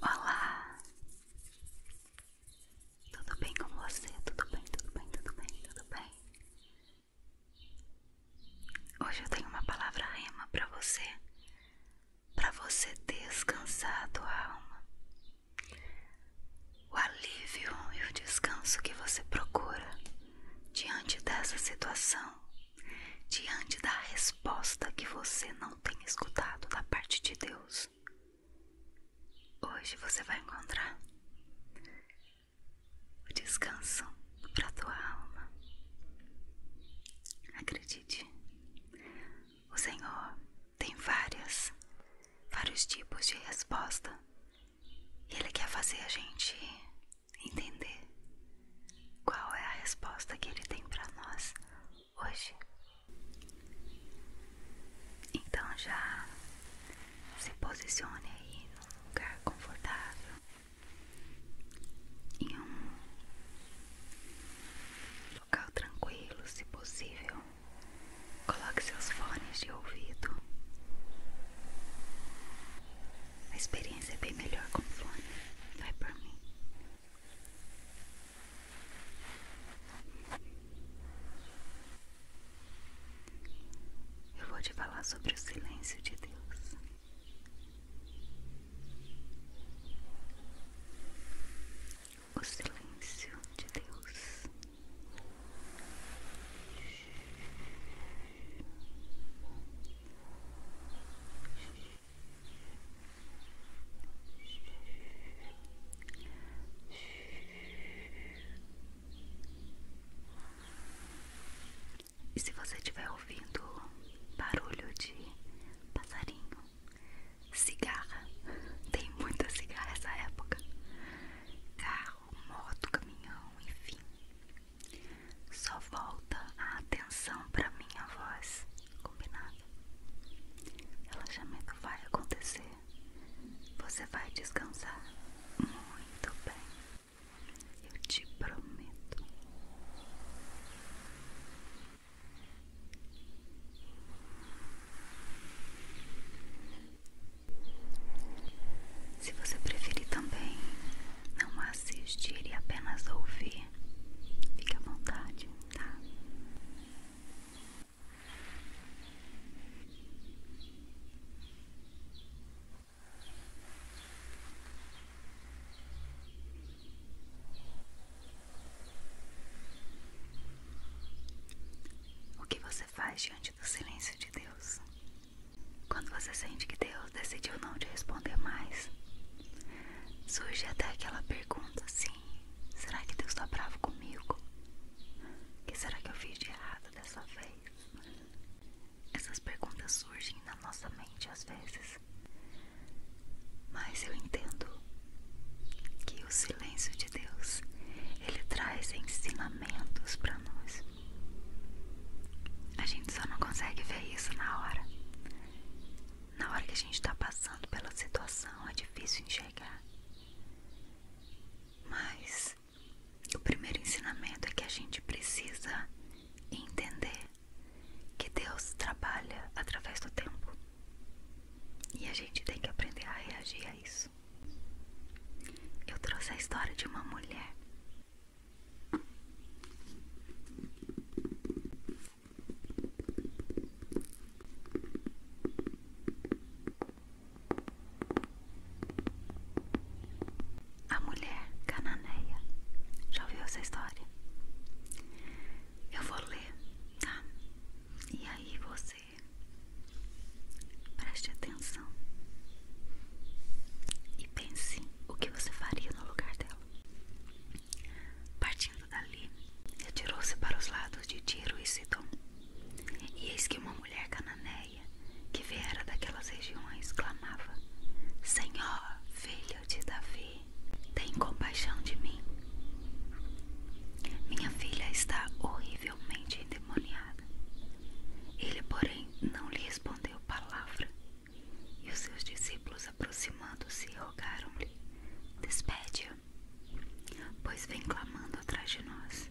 Olá, tudo bem com você? Tudo bem, tudo bem, tudo bem, tudo bem? Hoje eu tenho uma palavra rema para você, para você descansar a tua alma. O alívio e o descanso que você procura diante dessa situação diante da resposta que você não tem escutado da parte de Deus. Hoje você vai encontrar o descanso para tua alma. Acredite, o Senhor tem várias, vários tipos de resposta. e Ele quer fazer a gente entender qual é a resposta que ele tem para nós hoje. Então já se posicione aí num lugar confortável, em um local tranquilo, se possível. Coloque seus fones de ouvido a experiência é bem melhor com fone. Vai por mim. Eu vou te falar sobre o silêncio de Deus. O silêncio de Deus. E se você estiver ouvindo barulho de passarinho, cigarra, tem muita cigarra essa época, carro, moto, caminhão, enfim. Só volta a atenção para minha voz, combinado? Relaxamento vai acontecer. Você vai descansar muito bem. Eu te prometo. Se você preferir também, não assistir e apenas ouvir. Fique à vontade, tá? O que você faz diante do silêncio de Deus? Quando você sente que Deus decidiu não te responder mais. Surge até aquela pergunta sim será que Deus está bravo comigo? O que será que eu fiz de errado dessa vez? Essas perguntas surgem na nossa mente às vezes. Mas eu entendo que o silêncio de Deus, ele traz ensinamentos para nós. A gente só não consegue ver isso na hora. Na hora que a gente está passando pela situação é difícil enxergar. Mas o primeiro ensinamento é que a gente precisa entender que Deus trabalha através do tempo. E a gente tem que aprender a reagir a isso. Eu trouxe a história de uma mulher a mulher cananeia. Já ouviu essa história? Eu vou ler, tá? E aí você preste atenção e pense o que você faria no lugar dela. Partindo dali, retirou-se para os lados de Tiro e Sidom. E eis que uma mulher cananeia, que viera daquelas regiões, clamava: Senhor, filho de Davi, tem compaixão de mim. Minha filha está horrivelmente endemoniada. Ele, porém, não lhe respondeu palavra. E os seus discípulos, aproximando-se, rogaram-lhe: Despede-a, pois vem clamando atrás de nós.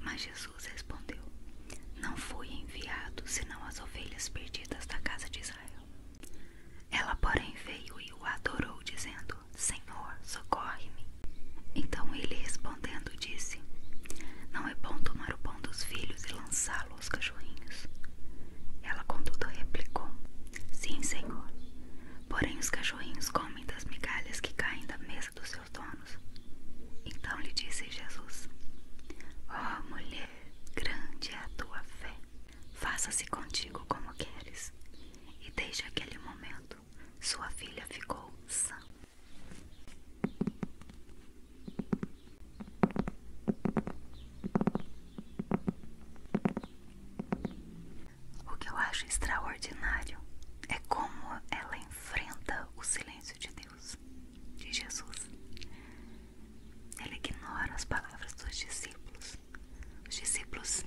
Mas Jesus respondeu: Não fui enviado senão as ovelhas perdidas da casa de Israel. Ela, porém, veio e o adorou, dizendo: Senhor, socorre-me. Então ele respondendo disse: Não é bom tomar o pão dos filhos e lançá-lo os aos Ela, contudo, replicou: Sim, senhor. Porém, os cachorrinhos comem das migalhas que caem da mesa dos seus donos. Então lhe disse Jesus: Ó oh, mulher, grande é a tua fé. Faça-se contigo como queres. E desde aquele momento, sua filha ficou sã. O que eu acho extraordinário é como ela enfrenta o silêncio de Deus, de Jesus. Ela ignora as palavras dos discípulos. Os discípulos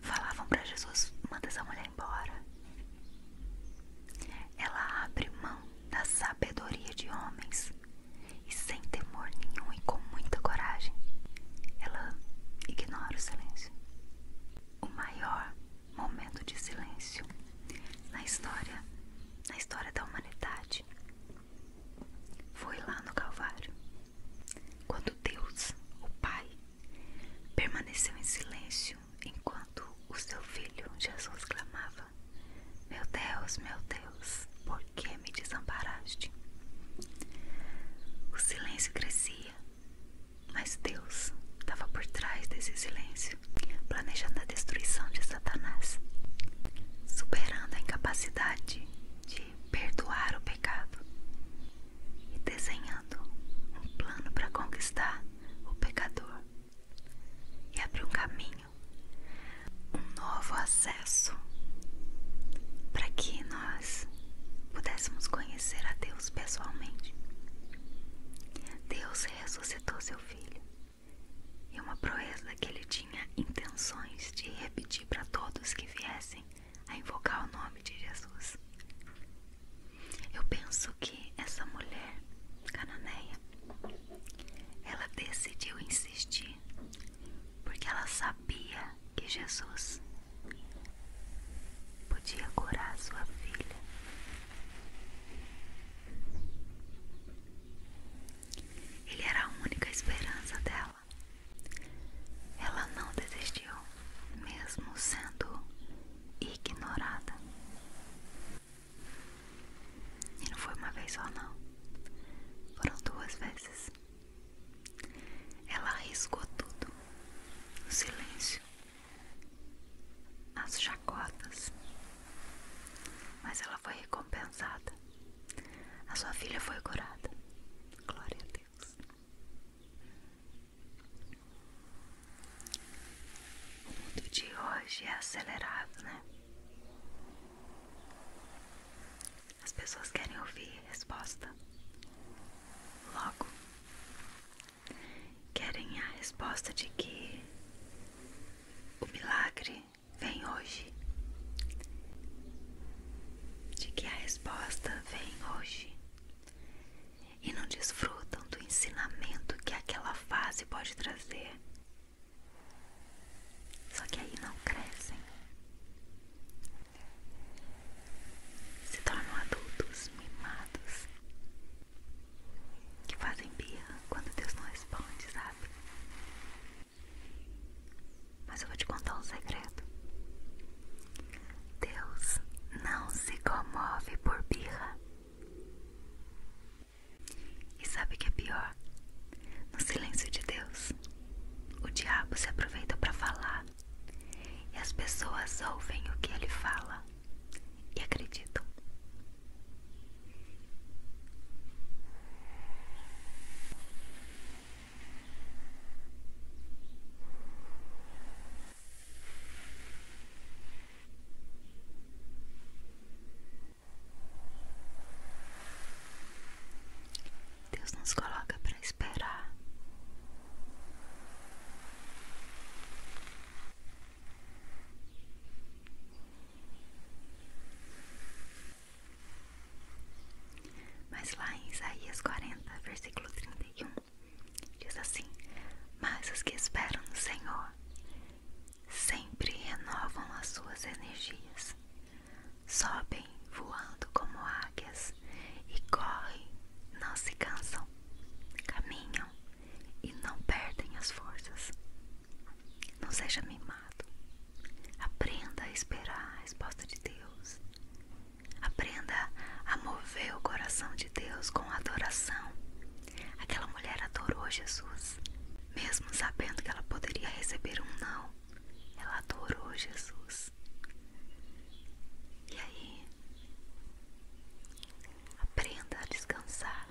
falavam para Jesus: manda essa mulher embora. Ela abre mão da sabedoria de homens e sem temor nenhum e com muita coragem, ela ignora o silêncio. O maior momento de silêncio na história, na história da humanidade, foi lá no Calvário, quando Deus, o Pai, permaneceu em silêncio enquanto o seu filho Jesus clamava: Meu Deus, meu Deus, por que me desamparaste? O silêncio crescia, mas Deus estava por trás desse silêncio, planejando a destruição de Satanás, superando a incapacidade de perdoar o pecado e desenhando um plano para conquistar o pecador e abrir um caminho um novo acesso para que nós pudéssemos conhecer a Deus pessoalmente. Deus ressuscitou seu filho e uma proeza que ele tinha intenções de repetir para todos que viessem a invocar o nome de Jesus. Eu penso que essa mulher, Cananeia, ela decidiu insistir porque ela sabia que Jesus podia curar sua filha. Ele era a única esperança dela. Ela não desistiu, mesmo sendo ignorada. E não foi uma vez só, não. Foram duas vezes. Ela arriscou tudo, o silêncio, as chacotas, mas ela foi recompensada. A sua filha foi curada. Glória a Deus. O mundo de hoje é acelerado, né? As pessoas querem ouvir resposta. Logo, querem a resposta de que o milagre vem hoje, de que a resposta vem hoje, e não desfrutam do ensinamento que aquela fase pode trazer só que aí não crescem, se tornam adultos mimados que fazem birra quando Deus não responde, sabe? Mas eu vou te contar um segredo: Deus não se comove por birra. E sabe o que é pior? No silêncio de Deus, o diabo se aproveita para falar e as pessoas ouvem o que ele fala e acreditam. Deus nos coloca para esperar. Mas lá em Isaías 40, versículo 31, diz assim: Mas os que esperam no Senhor sempre renovam as suas energias sobem voando como águias e correm, não se cansam, caminham e não perdem as forças. Não seja mimado. Aprenda a esperar a resposta de Deus. Aprenda a mover o coração de Deus com adoração. Aquela mulher adorou Jesus, mesmo sabendo que ela poderia receber um não ela adorou Jesus. E aí, aprenda a descansar.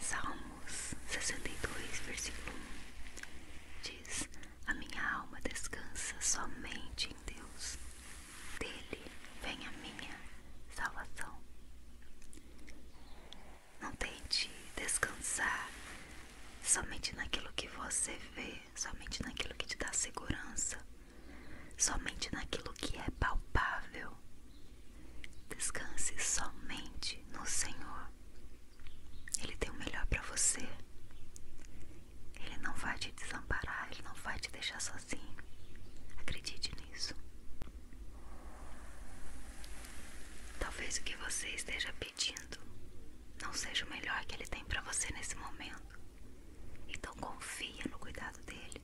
Salmos 62, versículo 1 diz: A minha alma descansa somente em Deus, dele vem a minha salvação. Não tente descansar somente naquilo que você vê, somente naquilo que te dá segurança, somente naquilo que é palpável. Descanse somente no Senhor. Ele tem o melhor para você. Ele não vai te desamparar, ele não vai te deixar sozinho. Acredite nisso. Talvez o que você esteja pedindo não seja o melhor que ele tem para você nesse momento. Então confia no cuidado dele.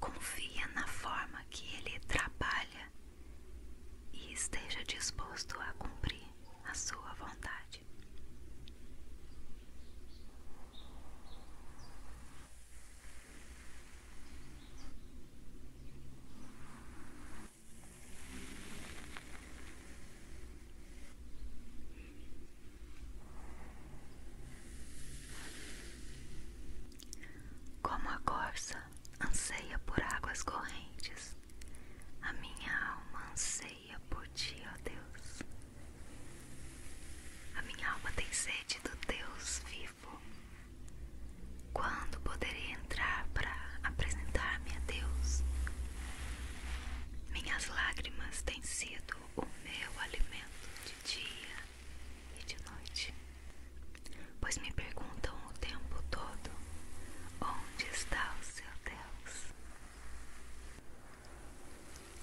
Confia na forma que ele trabalha e esteja disposto a cumprir a sua vontade. Como a corça anseia por águas correntes, a minha alma anseia por ti, ó Deus. A minha alma tem sede do Deus vivo. Quando poderei entrar para apresentar-me a Deus? Minhas lágrimas têm sido o meu alimento de dia e de noite, pois me perguntam o tempo todo: onde está o seu Deus?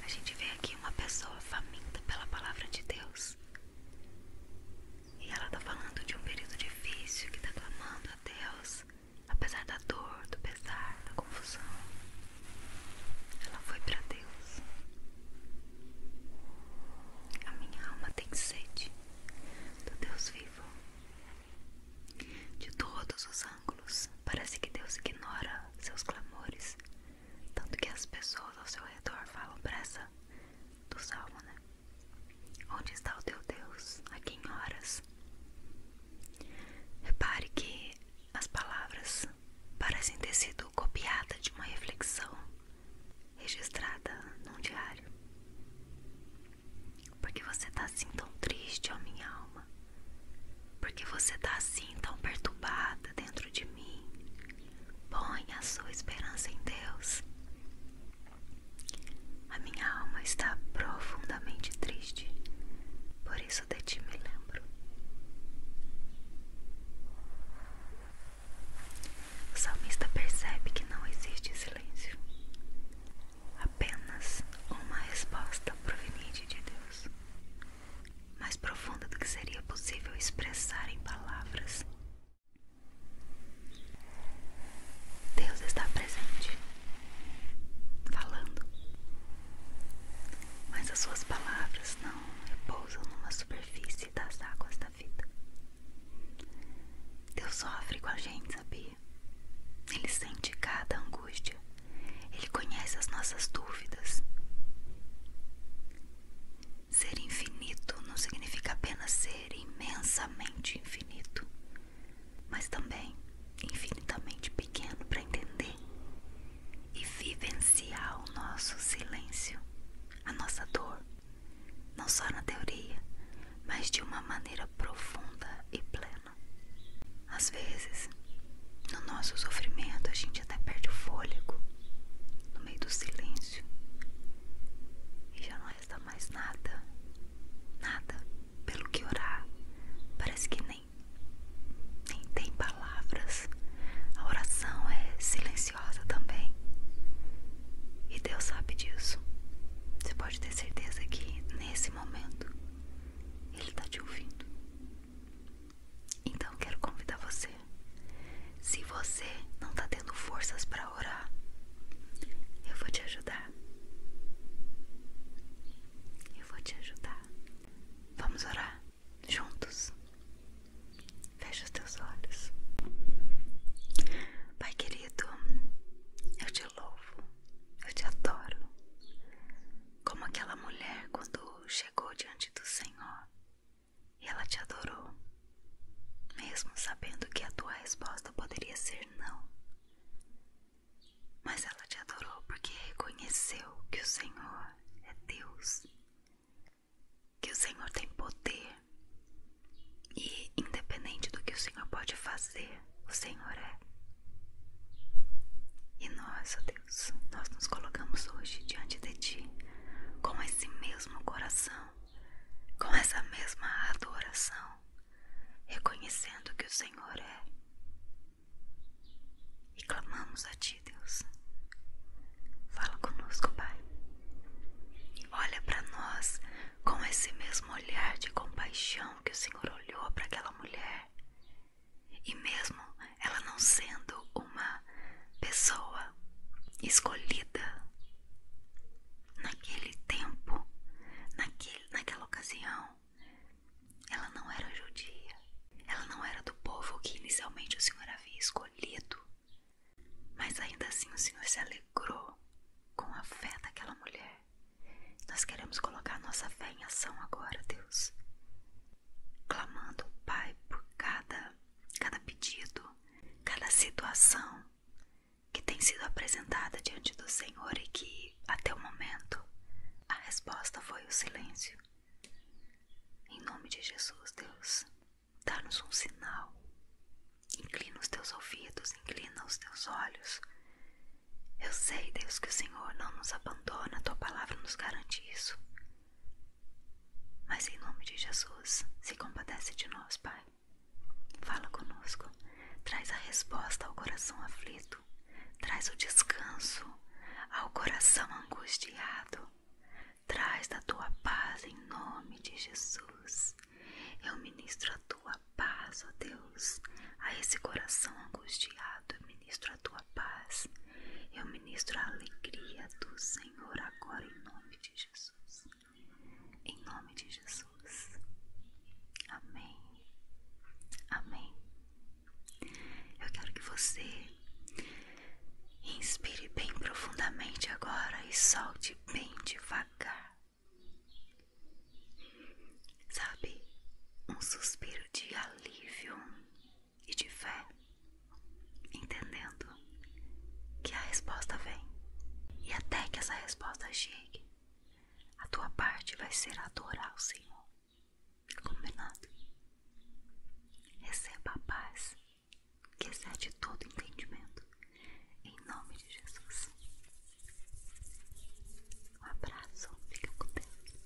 A gente vê aqui uma pessoa faminta pela palavra de Deus. E ela tá falando de um período difícil que tá clamando a Deus, apesar da dor, do pesar, da confusão. Ela foi para Deus. A minha alma tem sede do Deus vivo. De todos os ângulos, parece que Deus ignora seus clamores, tanto que as pessoas ao seu redor falam pressa do salmo, né? Onde está o teu Deus? A quem horas? Repare que as palavras parecem ter sido copiadas de uma reflexão registrada num diário. Porque você está assim tão triste, ó minha alma? Porque você está assim tão perturbada dentro de mim? põe a sua esperança em Deus. A minha alma está profundamente triste, por isso de ti me lembro. O salmista percebe que não existe silêncio, apenas uma resposta proveniente de Deus, mais profunda do que seria possível expressar em palavras Deus está presente, falando, mas as suas palavras não repousam numa superfície das águas da vida. Deus sofre com a gente, sabia? Ele sente cada angústia, ele conhece as nossas dúvidas. Ser infinito não significa apenas ser imensamente infinito, mas também infinitamente pequeno para entender e vivenciar o nosso silêncio, a nossa dor, não só na teoria, mas de uma maneira profunda e plena. Às vezes, no nosso sofrimento, a gente até perde o fôlego no meio do silêncio, e já não resta mais nada, nada pelo que orar. Parece que nem, nem tem palavras. A oração é silenciosa também. E Deus sabe disso. Você pode ter certeza que nesse momento Ele está te ouvindo. Então quero convidar você se você não tá tendo forças para orar, eu vou te ajudar. Eu vou te ajudar. Vamos orar juntos. Fecha os teus olhos. Pai querido, eu te louvo, eu te adoro. Como aquela mulher quando chegou diante do Senhor e ela te adorou, mesmo sabendo que a tua resposta poderia ser não. Mas ela te adorou porque reconheceu que o Senhor é Deus, que o Senhor tem poder e, independente do que o Senhor pode fazer, o Senhor é. E nós, ó Deus, nós nos colocamos hoje diante de Ti com esse mesmo coração com essa mesma adoração, reconhecendo que o Senhor é. E clamamos a Ti, Deus. Fala conosco, Pai. olha para nós com esse mesmo olhar de compaixão que o Senhor olhou para aquela mulher. E mesmo ela não sendo uma pessoa escolhida, naquele tempo, naquele, naquela ocasião, ela não era judia, ela não era do povo que inicialmente o Senhor havia escolhido, mas ainda assim o Senhor se alegrou com a fé daquela mulher. Nós queremos colocar nossa fé em ação agora, Deus, clamando, Pai, por cada, cada pedido, cada situação, que tem sido apresentada diante do Senhor e que, até o momento, a resposta foi o silêncio. Em nome de Jesus, Deus, dá-nos um sinal. Inclina os teus ouvidos, inclina os teus olhos. Eu sei, Deus, que o Senhor não nos abandona, a tua palavra nos garante isso. Mas em nome de Jesus, se compadece de nós, Pai. Fala conosco, traz a resposta ao coração aflito, traz o descanso ao coração angustiado, traz a tua paz em nome de Jesus. Eu ministro a tua paz, ó Deus, a esse coração angustiado, eu ministro a tua paz, eu ministro a alegria do Senhor agora em nome de Jesus. Em nome de Jesus. Amém. Amém. Eu quero que você inspire bem profundamente agora e solte bem devagar. Sabe, um suspiro de alívio e de fé, entendendo que a resposta vem. E até que essa resposta chegue, a tua parte vai ser adorar o Senhor. Combinado? Receba a paz que excede todo entendimento. Em nome de Jesus. Um abraço. Fica contente